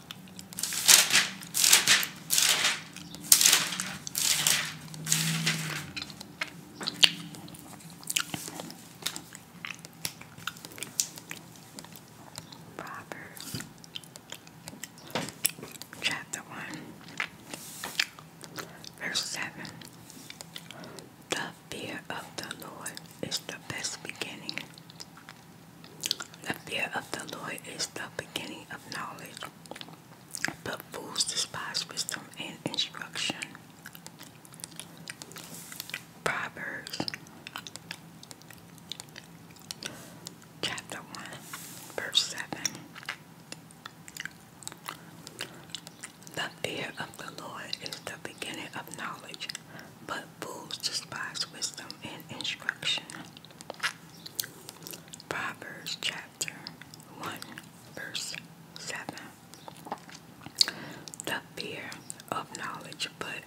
Proverbs chapter one verse seven The fear of the Lord is the best beginning the fear of the Lord is the beginning of knowledge, but fools despise wisdom and instruction. Proverbs chapter 1, verse 7. The fear of the Lord is the beginning of knowledge, but fools despise wisdom and instruction. Proverbs chapter 1, verse 7. The fear of knowledge, but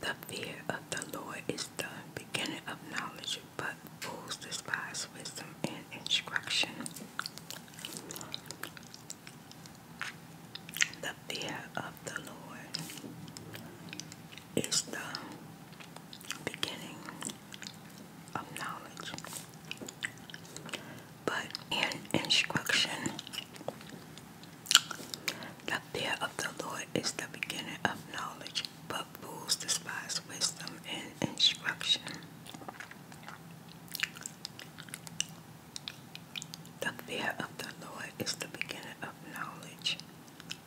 the fear of the Lord is the beginning of knowledge, but fools despise wisdom and instruction. The fear of the Lord is the beginning of knowledge, but in instruction, the fear of the Lord is the beginning of knowledge, but fools despise wisdom and instruction. The fear of the Lord is the beginning of knowledge,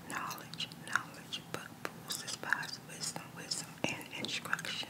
knowledge, knowledge, but fools despise wisdom, wisdom, and instruction.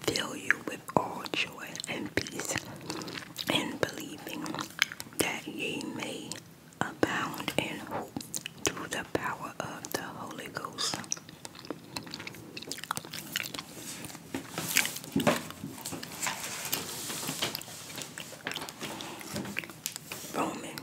fill you with all joy and peace in believing that ye may abound in hope through the power of the Holy Ghost. Romans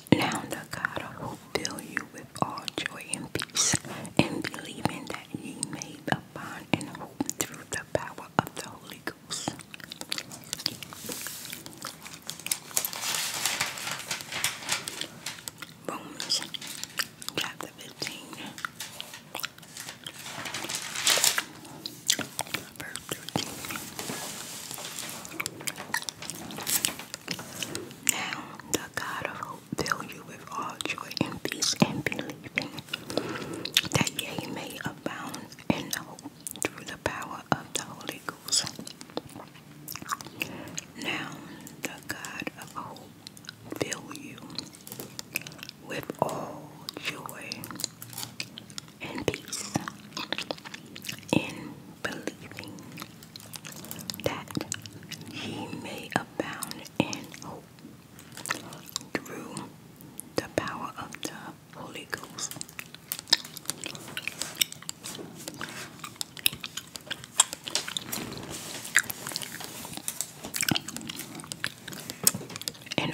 Now the God who fill you with all joy and peace, and believing that He made may bond and hope through the power of the Holy Ghost. Romans chapter 15, verse 13. Now the God of hope fill you with all joy and peace and believing that ye may abound in hope through the power of the Holy Ghost. Now the God of hope fill you with all joy and peace in believing that ye may abound in hope through the power of the Holy Ghost. And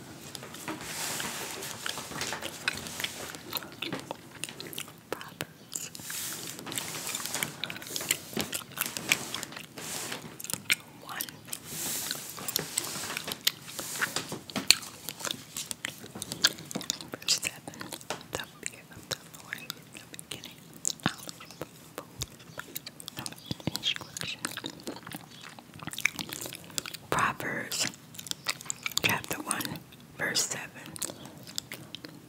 One. Verse 7. The fear of the Lord is the beginning of instruction. Proverbs chapter 1, verse 7.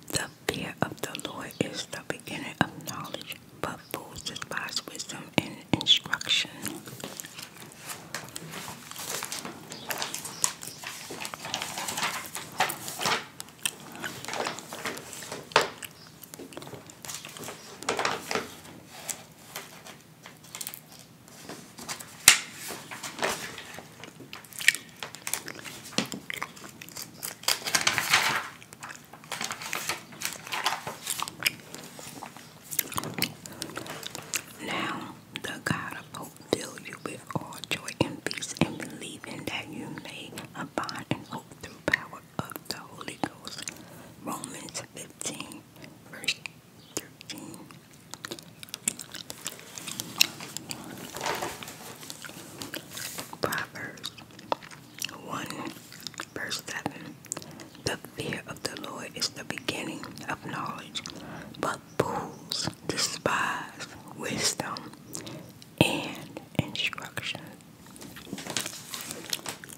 The fear of the Lord is the beginning of knowledge, but fools despise wisdom and instruction. Now, the God of hope fill you with all joy and peace in believing that you may abide in hope through power of the Holy Ghost. Romans 15, verse Proverbs 1 verse 7 The fear of the Lord is the beginning of knowledge, but fools despise wisdom and instruction.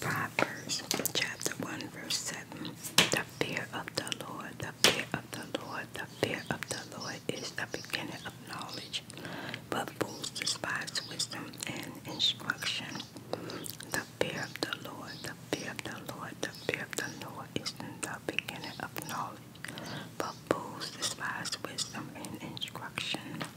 Proverbs chapter 1, verse 7. The fear of the Lord, the fear of the Lord, the fear of the Lord is the beginning of knowledge. But fools despise wisdom and instruction. The fear of the Lord, the fear of the Lord, the fear of the Lord is the beginning of knowledge. But fools despise wisdom and instruction.